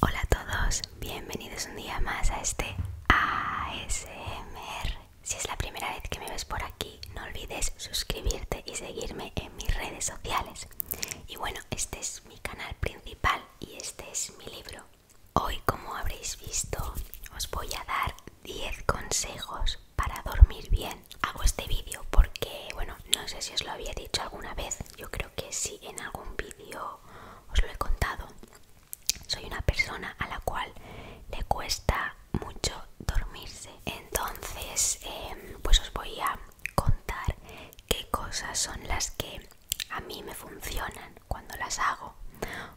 Hola a todos, bienvenidos un día más a este ASMR. Si es la primera vez que me ves por aquí, no olvides suscribirte y seguirme en mis redes sociales. Y bueno, este es mi canal principal y este es mi libro. Hoy, como habréis visto, os voy a dar 10 consejos para dormir bien hago este vídeo porque, bueno, no sé si os lo había dicho alguna vez, yo creo que sí en algún vídeo os lo he contado. Soy una persona a la cual le cuesta mucho dormirse. Entonces, em, pues os voy a contar qué cosas son las que a mí me funcionan cuando las hago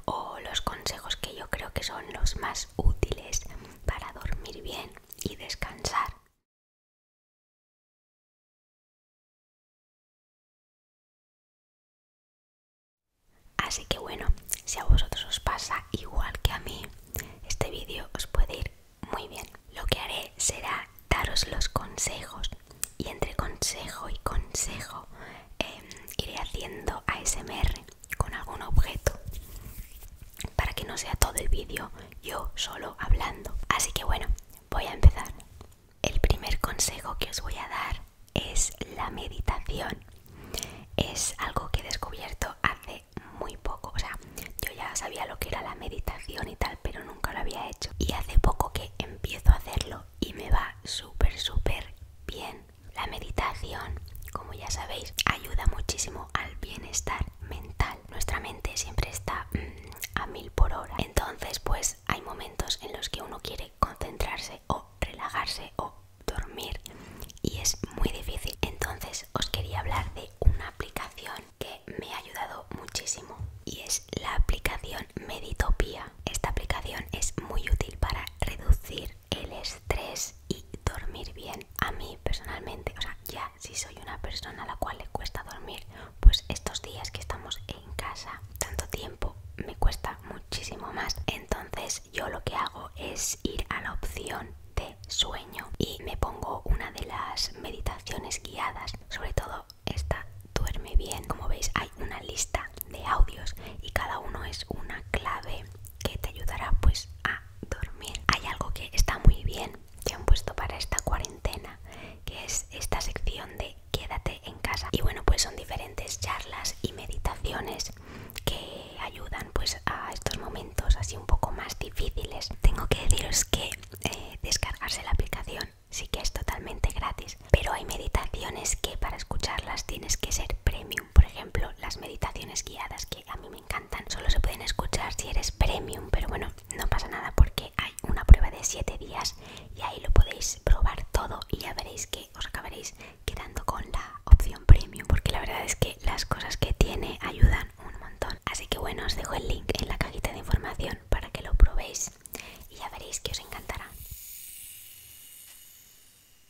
o los consejos que yo creo que son los más útiles para dormir bien y descansar. Así que bueno, si a vosotros os pasa igual que a mí, este vídeo os puede ir muy bien. Lo que haré será daros los consejos y entre consejo y consejo em, iré haciendo ASMR con algún objeto para que no sea todo el vídeo yo solo hablando. Así que bueno, voy a empezar. El primer consejo que os voy a dar es la meditación. Es algo que he descubierto hace muy poco. O sea, yo ya sabía lo que era la meditación y tal, pero nunca lo había hecho. Y hace poco que empiezo a hacerlo y me va súper, súper bien. La meditación, como ya sabéis, ayuda muchísimo al bienestar mental. Nuestra mente siempre está mm, a mil por hora. Entonces, pues hay momentos en los que uno quiere concentrarse o relajarse o dormir y es muy difícil. Entonces, os quería hablar de una aplicación que me ha ayudado muchísimo y es la aplicación Meditopia. Esta aplicación es muy útil para reducir el estrés y dormir bien. A mí personalmente, o sea, ya si soy una persona a la cual le cuesta dormir, pues estos días que estamos en casa tanto tiempo me cuesta muchísimo más. Entonces yo lo que hago es ir a la opción de sueño y me pongo una de las meditaciones guiadas, sobre todo esta duerme bien. Como veis hay una lista de audios y cada uno es una clave que te ayudará pues a dormir. Hay algo que está muy bien que han puesto para esta cuarentena, que es esta sección de quédate en casa. Y bueno, pues son diferentes charlas y meditaciones que ayudan pues a estos momentos así un poco más difíciles. Tengo que deciros que eh, descargarse la aplicación sí que es totalmente gratis, pero hay meditaciones que para escucharlas tienes que ser premium. Por ejemplo, las meditaciones guiadas que a mí me encantan. Solo se pueden escuchar si eres premium, pero bueno, no pasa nada porque hay una prueba de 7 días y ahí lo podéis probar todo y ya veréis que os acabaréis quedando con la opción premium porque la verdad es que las cosas que tiene ayudan un montón. Así que bueno, os dejo el link en la cajita de información para que lo probéis y ya veréis que os encantará.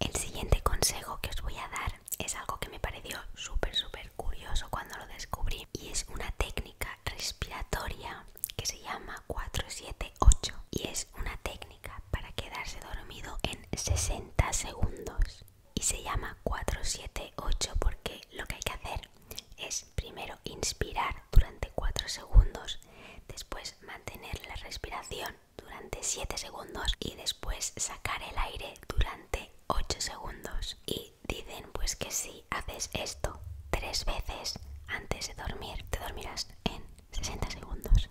El siguiente consejo que os voy a dar es algo que me pareció súper, súper curioso cuando lo descubrí y es una técnica respiratoria que se llama 478 y es una técnica para quedarse dormido en 60 segundos y se llama 478 porque lo que hay que hacer es primero inspirar durante 4 segundos, después mantener la respiración durante 7 segundos y después sacar el aire durante 8 segundos. Y dicen pues que si haces esto tres veces antes de dormir, te dormirás en 60 segundos.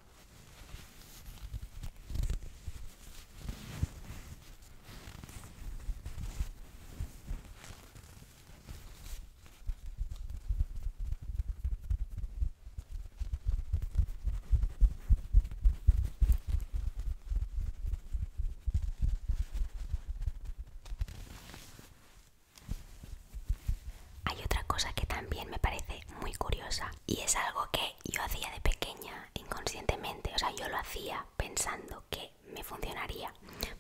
Hay otra cosa que también me parece muy curiosa y es algo que yo hacía de pequeña inconscientemente, o sea, yo lo hacía pensando que me funcionaría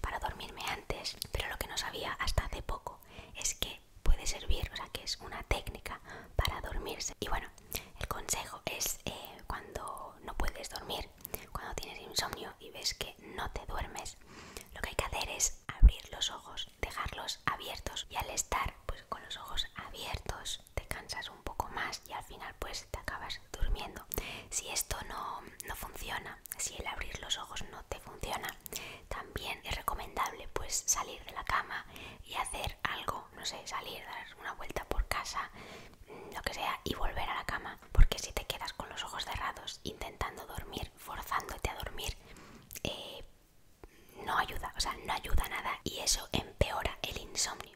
para dormirme antes, pero lo que no sabía hasta hace poco es que puede servir, o sea, que es una técnica para dormirse. Y bueno, el consejo es eh, cuando no puedes dormir, cuando tienes insomnio y ves que no te duermes, lo que hay que hacer es abrir los ojos, dejarlos abiertos y al estar pues, con los ojos abiertos te cansas un poco más y al final pues te acabas durmiendo. Si esto no, funciona, si el abrir los ojos no te funciona, también es recomendable pues salir de la cama y hacer algo, no sé, salir, dar una vuelta por casa, mm, lo que sea, y volver a la cama, porque si te quedas con los ojos cerrados intentando dormir, forzándote a dormir, eh, no ayuda, o sea, no ayuda nada y eso empeora el insomnio.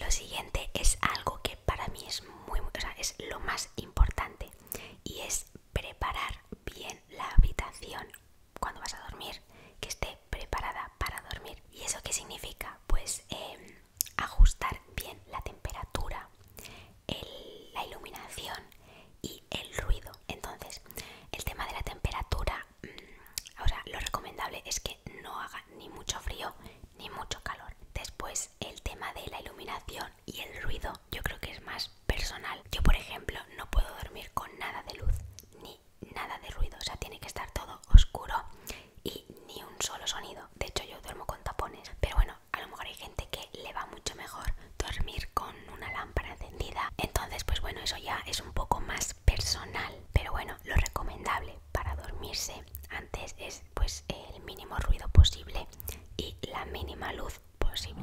Lo siguiente es algo que para mí es muy, o sea, es lo más importante y es preparar bien la habitación cuando vas a dormir, que esté preparada para dormir. ¿Y eso qué significa? Pues em, ajustar bien la temperatura, la iluminación y el ruido. Entonces, el tema de la temperatura, mm, ahora lo recomendable es que no haga ni mucho frío ni mucho calor. Después, el tema de la iluminación y el ruido, yo creo que es más personal. Yo, por ejemplo, no puedo dormir con nada de luz, ni nada de ruido, o sea, tiene que estar todo oscuro y ni un solo sonido. De hecho, yo duermo con tapones, pero bueno, a lo mejor hay gente que le va mucho mejor dormir con una lámpara encendida. Entonces, pues bueno, eso ya es un poco más personal, pero bueno, lo recomendable para dormirse antes es pues el mínimo ruido posible y la mínima luz posible.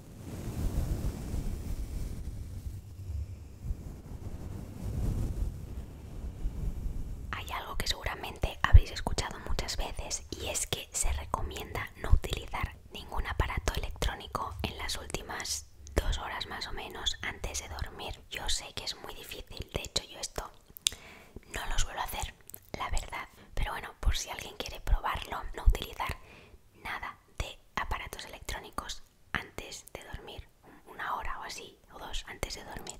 Hay algo que seguramente habréis escuchado muchas veces y es que se recomienda no utilizar ningún aparato electrónico en las últimas dos horas más o menos antes de dormir. Yo sé que es muy difícil, de hecho yo esto no lo suelo hacer, la verdad. Pero bueno, por si alguien quiere probarlo, no utilizar nada de aparatos electrónicos antes de dormir, una hora o así, o dos antes de dormir.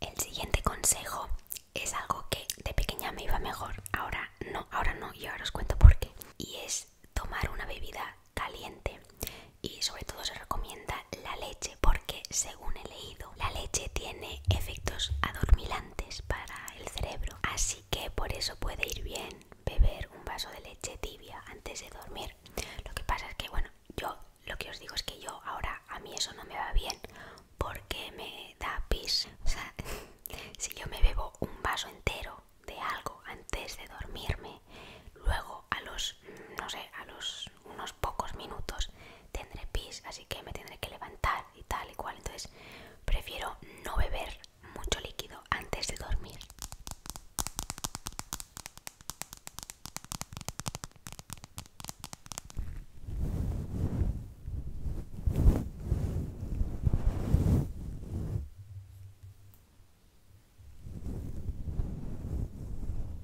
El siguiente consejo es algo que de pequeña me iba mejor, ahora no, ahora no, y ahora os cuento por qué. Y es tomar una bebida caliente y sobre todo se recomienda la leche que según he leído la leche tiene efectos adormilantes para el cerebro así que por eso puede ir bien beber un vaso de leche tibia antes de dormir lo que pasa es que bueno yo lo que os digo es que yo ahora a mí eso no me va bien porque me da pis o sea si yo me bebo un vaso entero de algo antes de dormirme luego a los no sé a los unos pocos minutos tendré pis, así que me tendré que levantar y tal y cual. Entonces prefiero no beber mucho líquido antes de dormir.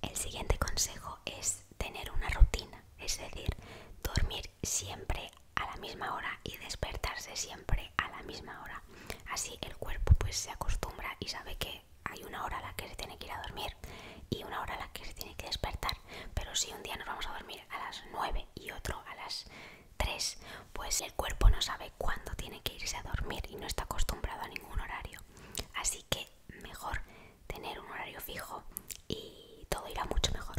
El siguiente consejo es tener una rutina, es decir, dormir siempre a la misma hora y despertarse siempre a la misma hora. Así el cuerpo pues se acostumbra y sabe que hay una hora a la que se tiene que ir a dormir y una hora a la que se tiene que despertar. Pero si un día nos vamos a dormir a las 9 y otro a las 3. Pues el cuerpo no sabe cuándo tiene que irse a dormir y no está acostumbrado a ningún horario. Así que mejor tener un horario fijo y todo irá mucho mejor.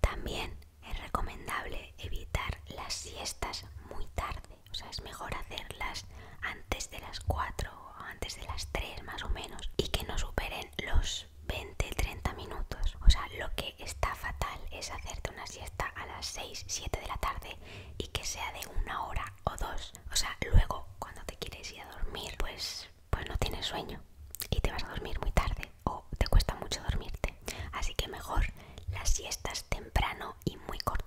También es recomendable evitar las siestas muy tarde, o sea, es mejor hacerlas antes de las 4 o antes de las 3 más o menos y que no superen los 20-30 minutos. O sea, lo que está fatal es hacerte una siesta a las 6-7 de la tarde y que sea de una hora o dos. O sea, luego cuando te quieres ir a dormir, pues, pues no tienes sueño y te vas a dormir muy tarde o te cuesta mucho dormirte. Así que mejor las siestas temprano y muy cortas.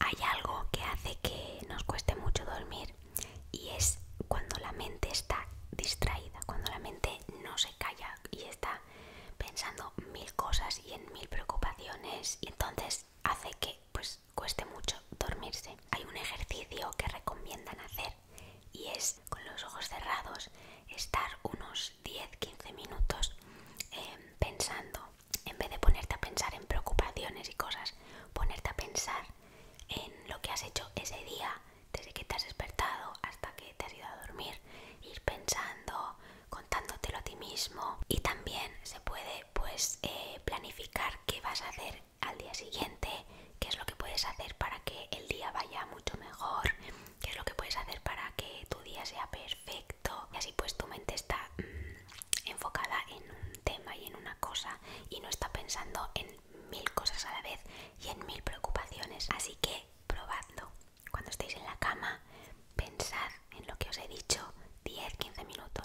Hay algo que hace que nos cueste mucho dormir y es cuando la mente está distraída, cuando la mente no se calla y está pensando mil cosas y en mil preocupaciones y entonces hace que pues cueste mucho dormirse. Hay un ejercicio que recomiendan hacer y es con los ojos cerrados estar unos 10-15 minutos em, pensando, en vez de ponerte a pensar en preocupaciones y cosas, ponerte a pensar en lo que has hecho ese día, desde que te has despertado hasta que te has ido a dormir, ir pensando, contándotelo a ti mismo y también se puede pues eh, planificar qué vas a hacer al día siguiente, qué es lo que puedes hacer para que el día vaya mucho mejor qué es lo que puedes hacer para que tu día sea perfecto y así pues tu mente está mm, enfocada en un tema y en una cosa y no está pensando en mil cosas a la vez y en mil preocupaciones así que probando cuando estéis en la cama pensad en lo que os he dicho 10-15 minutos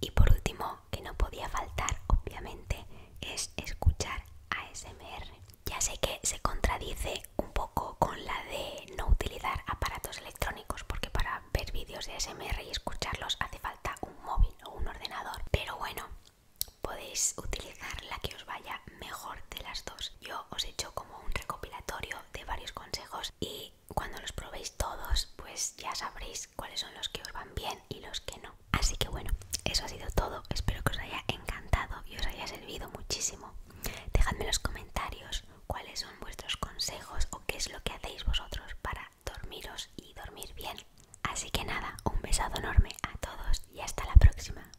Y por último, que no podía faltar, obviamente, es escuchar ASMR. Ya sé que se contradice un poco con la de no utilizar aparatos electrónicos, porque para ver vídeos de ASMR y escucharlos hace falta un móvil o un ordenador. Pero bueno, podéis utilizar la que os vaya mejor de las dos. Yo os he hecho como un recopilatorio de varios consejos y cuando los probéis todos, pues ya sabréis cuáles son los que os van bien y los que no. Así que bueno, eso ha sido todo. Espero que os haya encantado y os haya servido muchísimo. Dejadme en los comentarios cuáles son vuestros consejos o qué es lo que hacéis vosotros para dormiros y dormir bien. Así que nada, un besado enorme a todos y hasta la próxima.